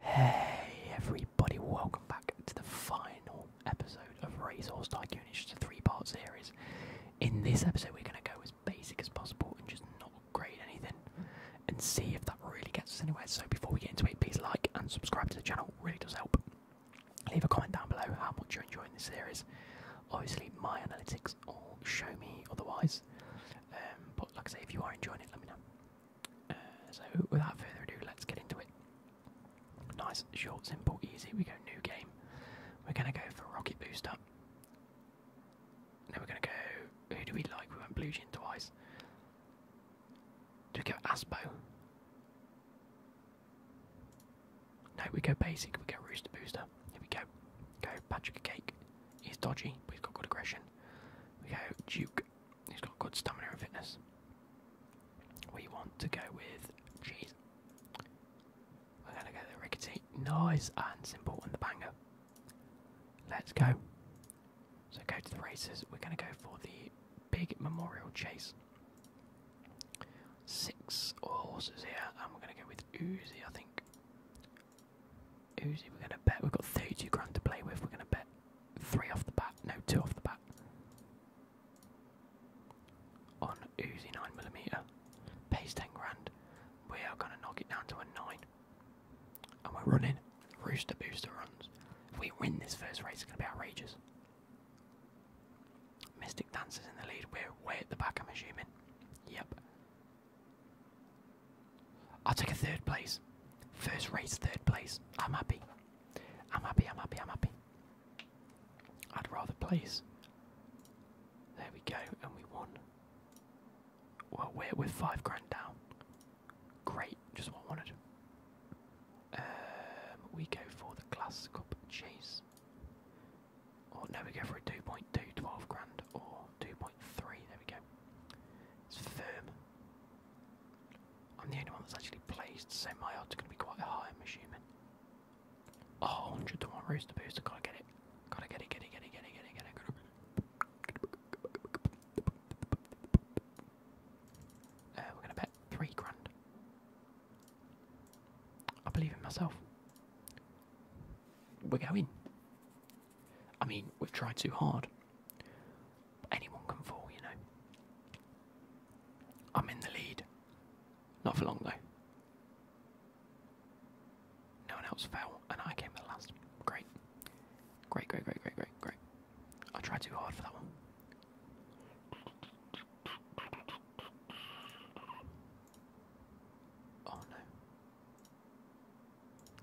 Hey everybody, welcome back to the final episode of Racehorse Tycoon. which is a three-part series. In this episode we're going to go as basic as possible and just not upgrade anything and see if that really gets us anywhere. So before we get into it, please like and subscribe to the channel, really does help. Leave a comment down below how much you're enjoying this series. Obviously my analytics all show me otherwise, um, but like I say, if you are enjoying it, let me know. Uh, so without further ado, let's get into it. Nice, short, simple, easy. We go new game. We're gonna go for Rocket Booster. Then we're gonna go. Who do we like? We went Blue Gin twice. Do we go Aspo? No, we go basic. We go Rooster Booster. Here we go. Go Patrick Cake. He's dodgy, We've got good aggression. We go Duke. He's got good stamina and fitness. We want to go with Jeez. We're gonna go the rickety. Nice and simple and the banger. Let's go. So go to the races. We're gonna go for the big memorial chase. Six horses here, and we're gonna go with Uzi, I think. Uzi, we're gonna bet. We've got thirty grand to play with. We're gonna bet three off the bat. No, two off the bat. On Uzi 9mm. Pays 10 grand. We are gonna knock it down to a 9. And we're running. Rooster Booster runs. If we win this first race, it's gonna be outrageous. Mystic Dancers in the lead. We're way at the back, I'm assuming. Yep. I'll take a third place. First race, third place. I'm happy. I'm happy, I'm happy, I'm happy. I'd rather place. There we go, and we won. Well, we're, with five grand down. Great, just what I wanted. Um, we go for the Glass Cup Chase. Or oh, no, we go for a two point two twelve grand, or 2.3, there we go. It's firm. I'm the only one that's actually placed, so my odds are going to be quite high, I'm assuming. Oh, 100 to 1 rooster booster, gotta get it. Gotta get it, get it, get it, get it, get it, get it. Uh, we're going to bet 3 grand. I believe in myself. We're going. I mean, we've tried too hard. anyone can fall, you know. I'm in the lead. Not for long, though. No one else fell, and I came in last. Great. Great, great, great, great, great, great. I tried too hard for that one. Oh no.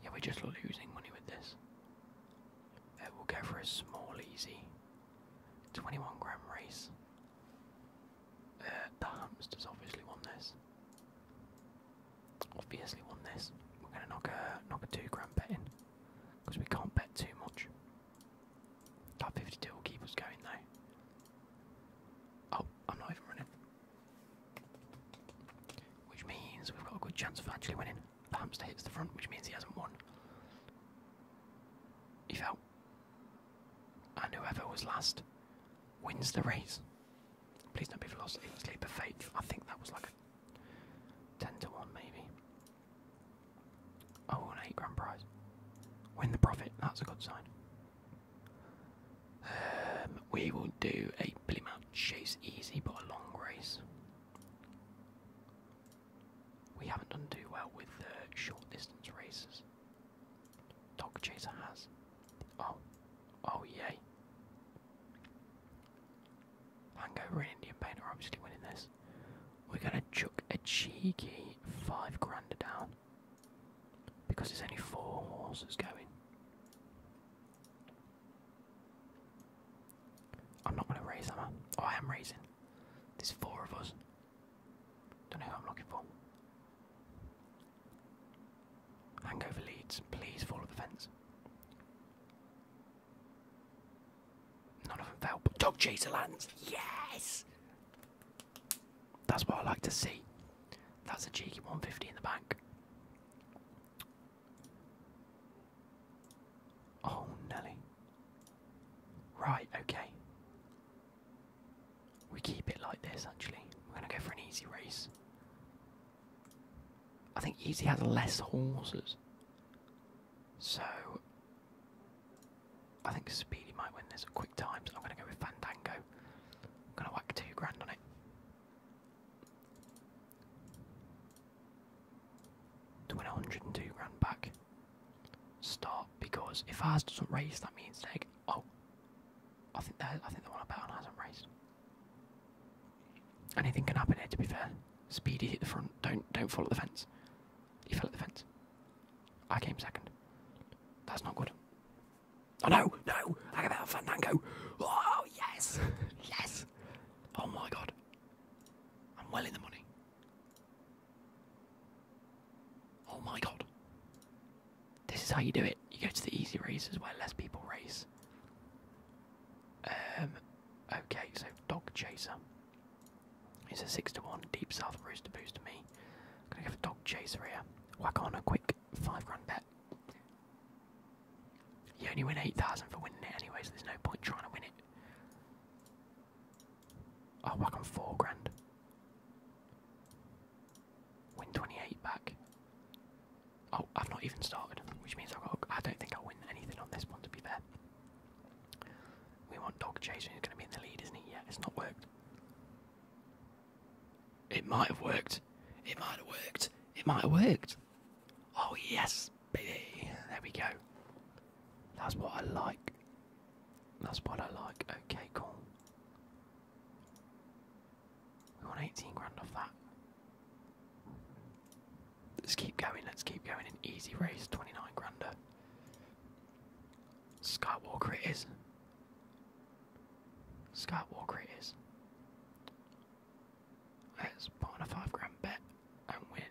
Yeah, we're just losing money with this. Uh, we'll go for a small, easy 21 gram race. Uh, the hamsters obviously won this. Obviously won this. We're going to knock a, knock a 2 gram bet in because we can't bet too much. That 52 will keep us going though. Oh, I'm not even running. Which means we've got a good chance of actually winning. The hamster hits the front, which means he hasn't won. He fell. And whoever was last wins the race. Please don't be velocity, sleep of fate. I think that was like a 10 to 1 maybe. Oh, an 8 grand prize. Win the profit, that's a good sign. Um, we will do a Billy Mount Chase easy, but a long race. We haven't done too well with the short distance races. Dog Chaser has. Oh, oh yay! Hangover and Indian Painter are obviously winning this. We're gonna chuck a cheeky five grander down because there's only four horses going. I'm not gonna raise, them. I? Oh, I am raising. There's four of us. Don't know who I'm looking for. Hangover leads. Please fall off the fence. None of them fell. But dog chaser lands. Yes. That's what I like to see. That's a cheeky 150 in the bank. Oh, Nelly. Right, okay. We keep it like this, actually. We're going to go for an easy race. I think easy has less horses. So, I think Speedy might win this at quick times. I'm going to go with Fandango. I'm going to whack two grand on it to win 102 grand back. Stop because if ours doesn't race, that means like oh, I think that I think the one I bet on hasn't raced. Anything can happen here. To be fair, Speedy hit the front. Don't don't fall at the fence. He fell at the fence. I came second. That's not good. I oh, know, no, I got a Fandango. Oh, yes, yes. Oh my god. I'm well in the money. Oh my god. This is how you do it. You go to the easy races where less people race. Um, okay, so Dog Chaser. It's a 6 to 1 Deep South Rooster Boost to me. I'm going to give a Dog Chaser here. Whack on a quick five grand bet. You only win 8,000 for winning it anyway, so there's no point trying to win it. I'll oh, whack on four grand. Win 28 back. Oh, I've not even started, which means I've got, I don't think I'll win anything on this one, to be fair. We want dog Jason, who's going to be in the lead, isn't he? Yeah, it's not worked. It might have worked. It might have worked. It might have worked. Oh, yes, baby. There we go. That's what I like. That's what I like. Okay, cool. We want 18 grand off that. Let's keep going. Let's keep going. An easy race. 29 grander. Skywalker is. Scott Walker it is. Let's put on a five grand bet and win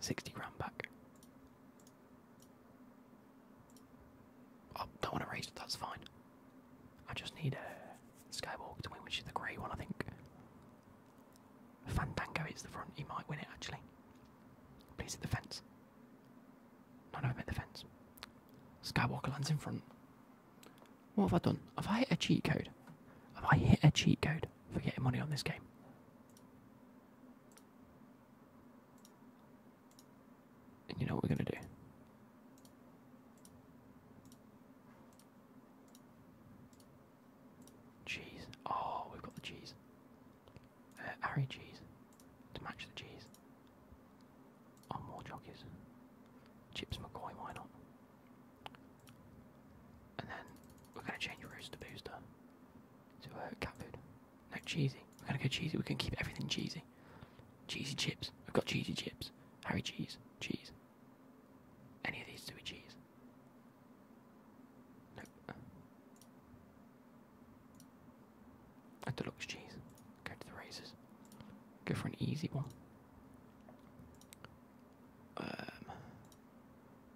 sixty grand back. Oh, don't want to raise that's fine. I just need a Skywalk to win, which is the grey one, I think. Fandango hits the front, he might win it actually. Please hit the fence. No, no, I the fence. Skywalker lands in front. What have I done? Have I hit a cheat code? Have I hit a cheat code for getting money on this game? And you know what we're going to do? Cheese. Oh, we've got the cheese. Uh, Harry cheese to match the cheese. Oh, more jockeys. Chips McCoy, why not? And then we're going to change Rooster Booster to uh, cat food. No, cheesy. We're going to go cheesy. We're going to keep everything cheesy. Cheesy chips. We've got cheesy chips. Harry cheese. Cheese. Any of these two are cheese. Nope. At the deluxe cheese. Go to the razors. Go for an easy one. Um,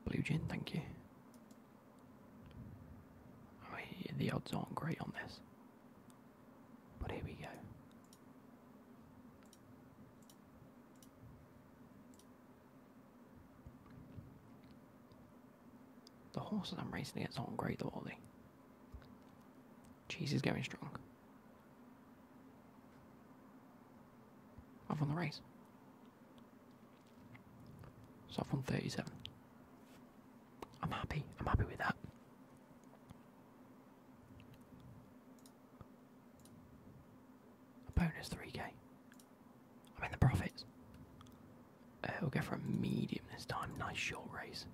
blue gin, thank you. the odds aren't great on this, but here we go. The horses I'm racing against aren't great though, are they? Cheese is going strong. I've won the race. So I've won 37. I'm happy. I'm happy with that. A bonus 3k. I'm in the profits. Uh, we'll go for a medium this time. Nice short race.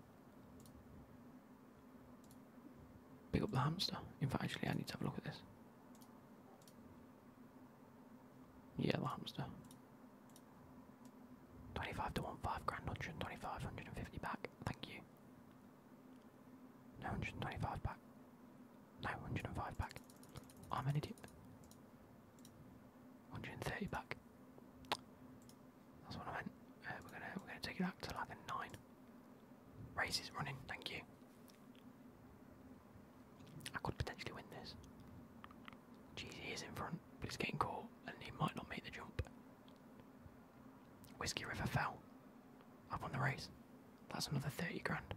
Pick up the hamster. In fact, actually, I need to have a look at this. Yeah, the hamster. 25 to 1, 5 grand, 125, 150 back. Thank you. No, 125 back. No, 105 back. I'm an idiot. 130 back. That's what I meant. Uh, we're gonna take it up to like a nine. Race is running. Thank you. I could potentially win this. Jeez, he's in front, but he's getting caught, and he might not make the jump. Whiskey River fell. I've won the race. That's another thirty grand.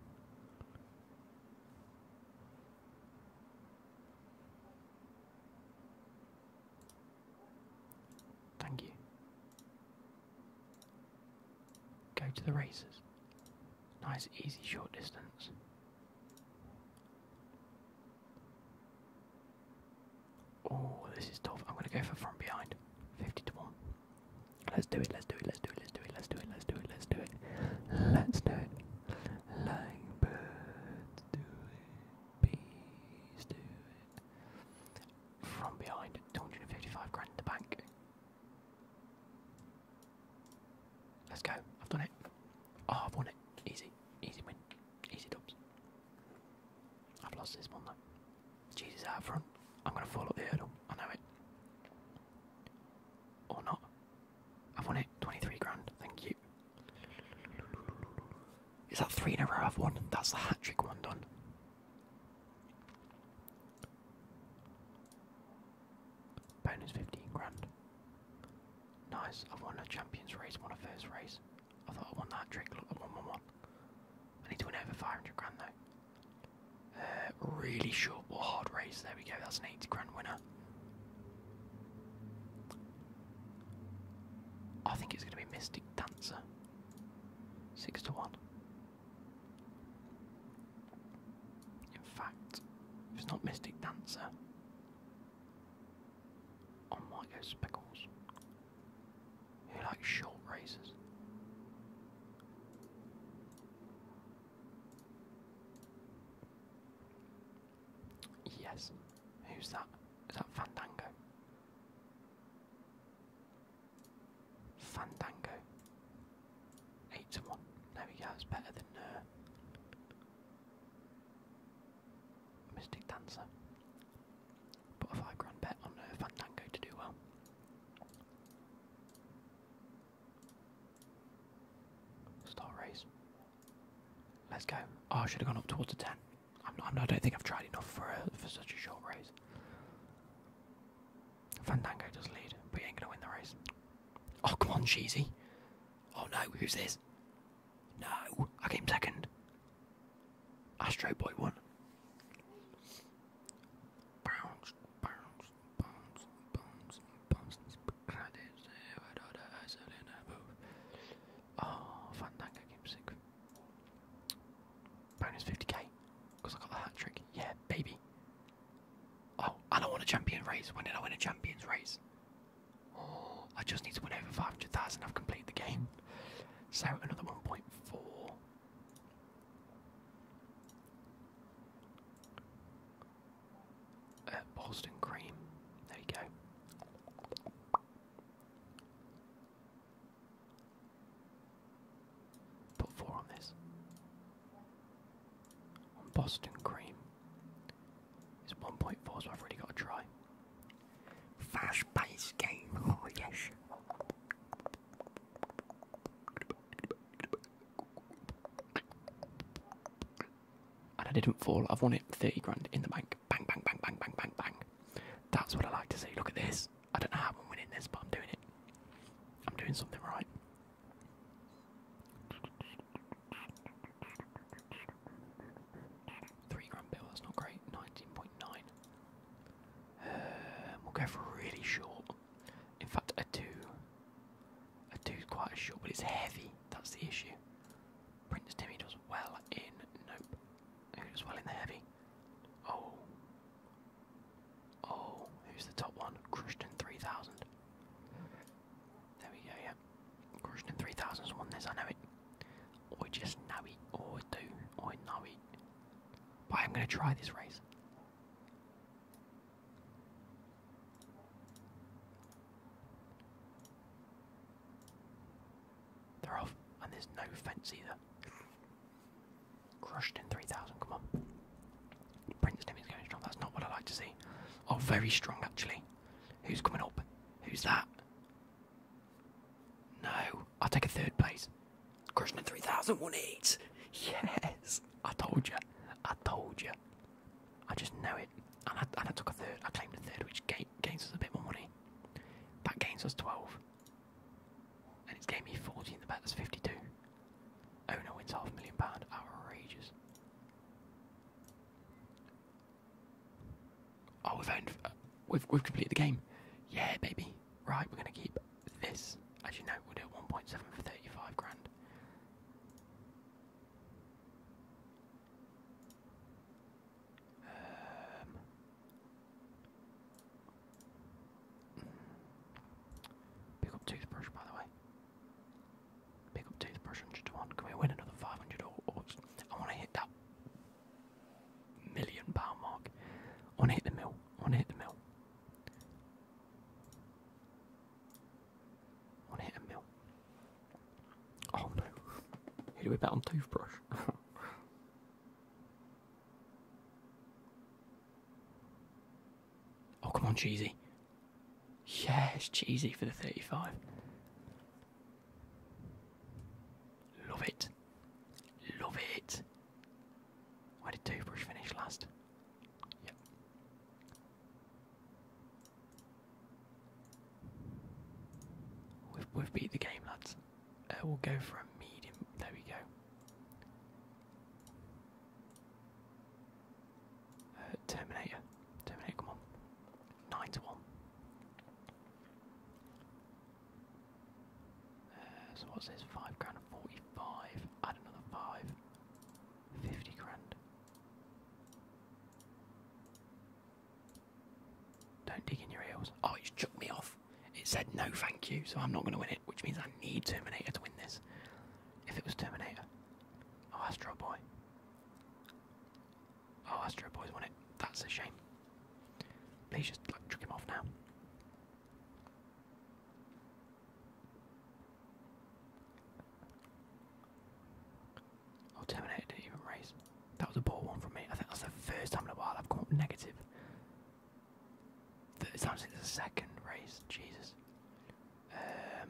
Thank you. Go to the races. Nice, easy, short distance. Oh, this is tough. I'm going to go for from behind. 50 to 1. Let's do it, let's do it, let's do it, let's do it, let's do it, let's do it, let's do it. Let's do it like birds do it, bees do it. From behind, 255 grand in the bank. Let's go, I've done it. Oh, I've won it. Easy, easy win, easy dubs. I've lost this one though. Jesus out front. I'm gonna fall up the hurdle. I know it. Or not. I've won it. 23 grand. Thank you. Is that three in a row I've won? That's the hat trick one done. Bonus 15 grand. Nice. I've won a champions race, won a first race. I thought I won that trick. Look, I need to win over 500 grand though. Uh, really short or hard race. There we go. That's an 80 grand winner. I think it's going to be Mystic Dancer. Six to one. In fact, if it's not Mystic Dancer, I might go Speckles. Who likes short races? Yes. Who's that? Is that Fandango? Fandango. Eight to one. There we go. It's better than uh, Mystic Dancer. Put a five grand bet on uh, Fandango to do well. Start race. Let's go. Oh, I should have gone up towards the 10. I'm, I'm, I do not think I've tried enough for, for such a short race. Fandango does lead, but he ain't going to win the race. Oh, come on, Cheesy. Oh no, who's this? No, I came second. Astro Boy won. Bounce, bounce, bombs, bombs, bombs, bombs. Oh, Fandango game Bonus 50k, because I got the hat trick. Yeah, baby. Oh, I don't want a champion race. When did I win a champions race? Oh, I just need to win over 500,000. I've completed the game. So, another 1.4. Uh, Boston cream. There you go. Put four on this. Boston cream. It's 1.4, so I've really got to try. Fast paced game, oh yes. And I didn't fall. I've won it 30 grand in the bank. Bang, bang, bang, bang, bang, bang, bang. That's what I like to see. Look at this. I don't know how I'm winning this, but I'm doing it. I'm doing something right. Three grand bill, that's not great. 19.9. Um, we'll go for really short. In fact, a two. I do quite sure, but it's heavy. That's the issue. Prince Timmy does well in. Nope. Who does well in the heavy? Oh. Oh, who's the top one? Christian 3000. There we go, yeah. Christian 3000's won this, I know it. I just know it. Or do. I know it. But I'm going to try this race. They're off, and there's no fence either. Crushed in 3,000, come on. Prince Nimmy's going strong, that's not what I like to see. Oh, very strong actually. Who's coming up? Who's that? No, I'll take a third place. Crushing in 3,000, eight. Yes! I told you. I told you. I just know it. And I, took a third. I claimed a third, which gains us a bit more money. That gains us 12. And it's gave me 14. The bet that's 52. Owner wins half a million pound. Outrageous. Oh, we've owned. Uh, we've we've completed the game. Yeah, baby. Right, we're gonna keep this. As you know, we'll do 1.7 for 35 grand. Um, pick up toothbrush, by the way. Pick up toothbrush, 100 1. Can we win another 500 I want to hit that million pound mark. I want to hit the mill. I want to hit the mill. One hit a mill. Oh no. Who do we bet on toothbrush? oh come on, cheesy. Yeah, it's cheesy for the 35. Love it. Love it. Why did Brush finish last? Yep. We've, we've beat the game, lads. Uh, we'll go for a medium. There we go. Uh, Terminator. Terminator, come on. 9 to 1. Uh, so what's this? 5 grand 45. Add another 5. Fifty grand. Don't dig in your heels. Oh, you chucked me off. It said no thank you, so I'm not going to win it, which means I need Terminator to win this. If it was Terminator. Oh, Astro Boy. Oh, Astro Boy's won it. That's a shame. Please just like, chuck him off now. Oh, Terminator didn't even race. That was a poor one for me. I think that's the first time in a while I've come up negative. Third time since the second race. Jesus. Um,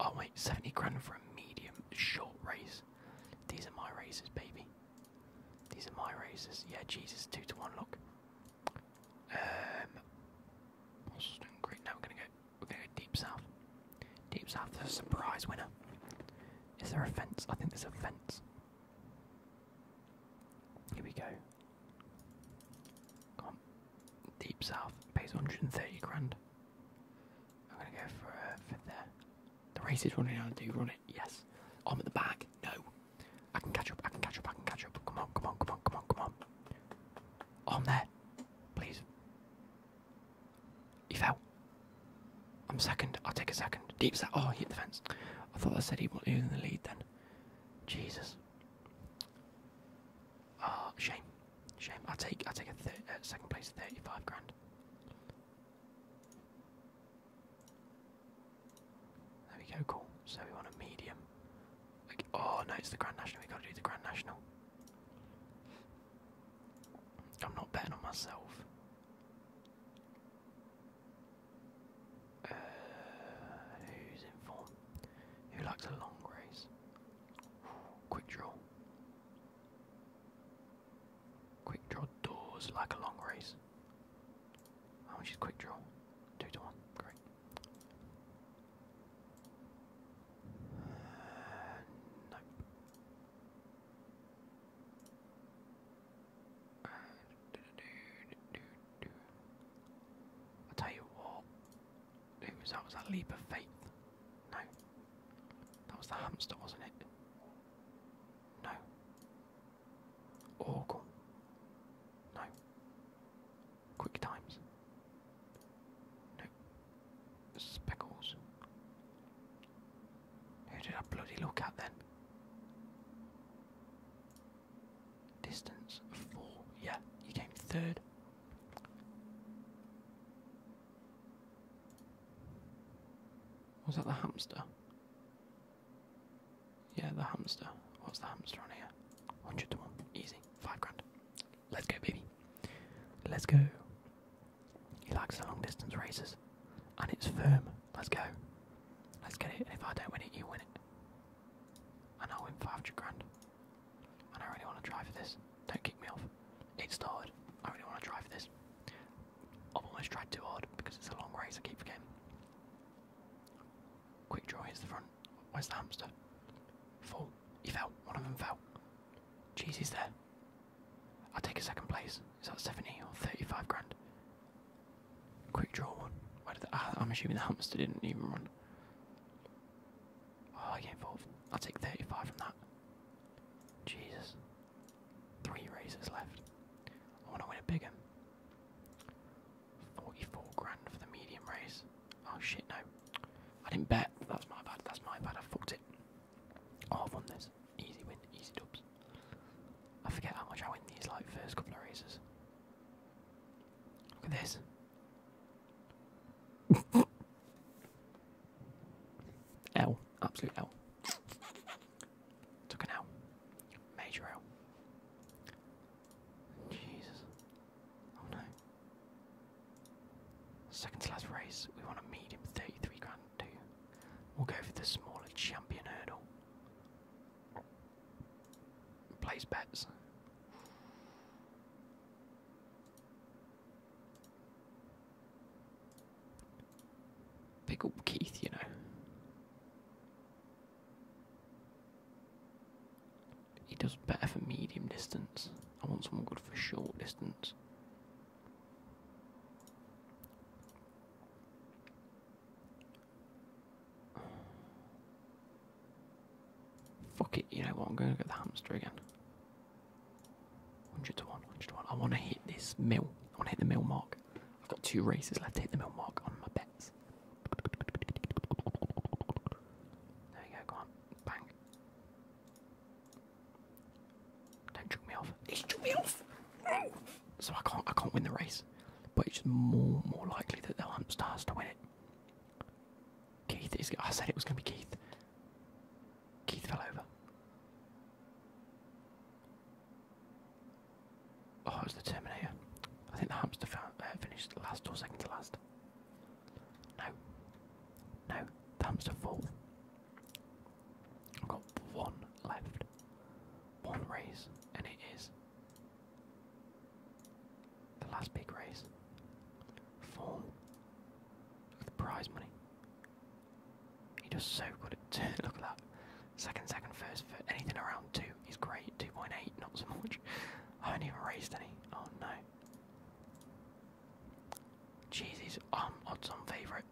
oh, wait, 70 grand for a medium short race. These are my races, baby. These are my races. Yeah, Jesus, 2 to 1, look. Um, Arsenal's now. We're gonna go. We're gonna go deep south. Deep south is a surprise winner. Is there a fence? I think there's a fence. Here we go. Come on. Deep south pays 130 grand. I'm gonna go for uh, there. The race is running out. Do you run it? Yes. I'm at the back. No. I can catch up, I can catch up, I can catch up. Come on, come on, come on, come on, come on. Oh, I'm there. Please. He fell. I'm second. I'll take a second. Deep set. Oh, he hit the fence. I thought I said he was in the lead then. Jesus. Oh, shame. Shame. i take, i take a uh, second place, 35 grand. There we go, cool. So we want a medium. Oh no, it's the Grand National. We gotta do the Grand National. I'm not betting on myself. Uh, who's in form? Who likes a long race? quick draw. Quick draw doors like a long race. Oh, she's quick draw. Two to one. Great. Uh, uh I'll tell you what. It was that was that leap of faith. No. That was the hamster, wasn't it? No. Oracle. No. Quick Times. No. Speckles. Who did I bloody look at then? Distance four. Yeah, you came third. Was that the hamster? Yeah, the hamster. What's the hamster on here? 100 Easy. 5 grand. Let's go, baby. Let's go. He likes the long distance races. And it's firm. Let's go. Let's get it. And if I don't win it, you win it. And I'll win 500 grand. And I really want to try for this. Don't kick me off. It's started. I really want to try for this. I've almost tried too hard because it's a long race. I keep forgetting. Quick draw, here's the front. Where's the hamster? Fall. He fell. One of them fell. Jesus, there. I'll take a second place. Is that 70 or 35 grand? Quick draw one. Ah, I'm assuming the hamster didn't even run. Oh, I get involved. I'll take 35 from that. Jesus. Three races left. I want to win a big 44 grand for the medium race. Oh shit, no. I didn't bet. That's my bad. That's my bad. I fucked it. Oh, I've won this. Easy win. Easy dubs. I forget how much I win these like first couple of races. Look at this. L. Absolute L. Took an L. Major L. Jesus. Oh no. Second to last race, we want a medium 33 grand too. We'll go for the smaller champion hurdle. Place bets. Pick up Keith, you know. He does better for medium distance. I want someone good for short distance. Fuck it, you know what? I'm going to get the hamster again. 100 to 100 to 1. I want to hit this mill. I want to hit the mill mark. I've got two races left to take the mill mark on my bets. There we go, go on. Bang. Don't choke me off. He's choked me off! So I can't I can't win the race. But it's just more more likely that the will hunt stars to win it. Keith is I said it was gonna be Keith. Keith fell over. Oh, it's the Terminator. I think the hamster found, uh, finished last or second to last. No. No, hamster full. I've got one left. One race, and it is the last big race. Form of the prize money. He does so good at look at that. Second, second, first, first, anything around two, he's great. Two point eight, not so much. I haven't even raised any. Oh no. Jesus, he's um odds on favourite.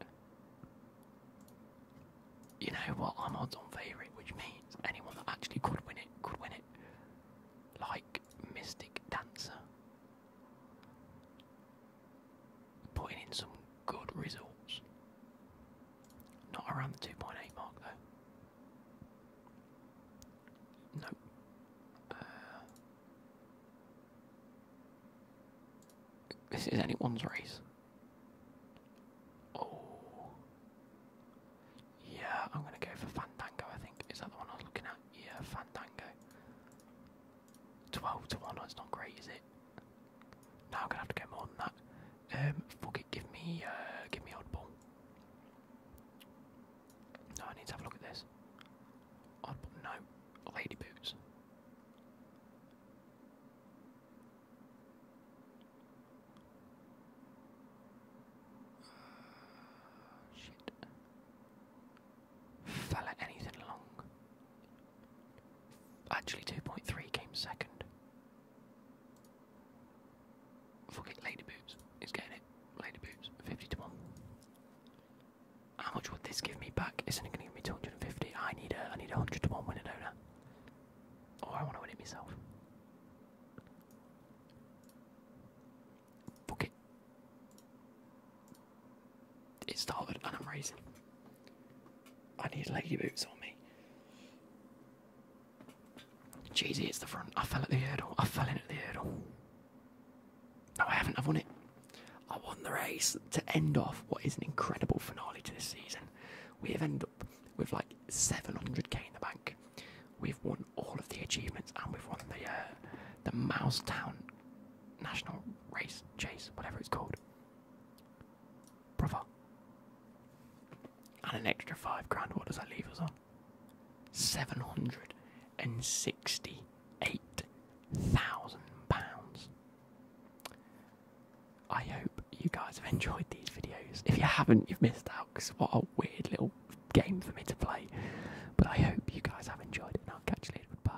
You know what? I'm odds on favourite, which means anyone that actually could win it could win it. Like Mystic Dancer. Putting in some good results. Not around the 2.8 mark though. Nope. Uh, this is anyone's race. Oh. Yeah, I'm gonna go for Fandango, I think. Is that the one I was looking at? Yeah, Fandango. 12 to 1, that's not great, is it? Now I'm gonna have to get more than that. Um, fuck it, give me, uh, give me oddball. No, I need to have a look at this. Oddball, no, lady boots. Uh, shit. Fella anything along. Actually, 2.3 came second. Fuck it, Lady Boobs is getting it. Lady Boobs, 50 to 1. How much would this give me back? Isn't it going to give me 250? I need a, I need a 100 to 1 winner, do Or I want to win it myself. Fuck it it started and I'm racing. I need lady boots on me. Cheesy, it's the front. I fell at the hurdle. I fell in at the hurdle. No, I haven't. I've won it. I won the race to end off what is an incredible finale to this season. We have ended up with like 700k in the bank. We've won all of the achievements and we've won the uh, the Mouse Town National Race Chase, whatever it's called. Brother. And an extra five grand, what does that leave us on? 768,000 pounds. I hope you guys have enjoyed these videos. If you haven't, you've missed out because what a weird little game for me to play. But I hope you guys have enjoyed it and I'll catch you later. Bye.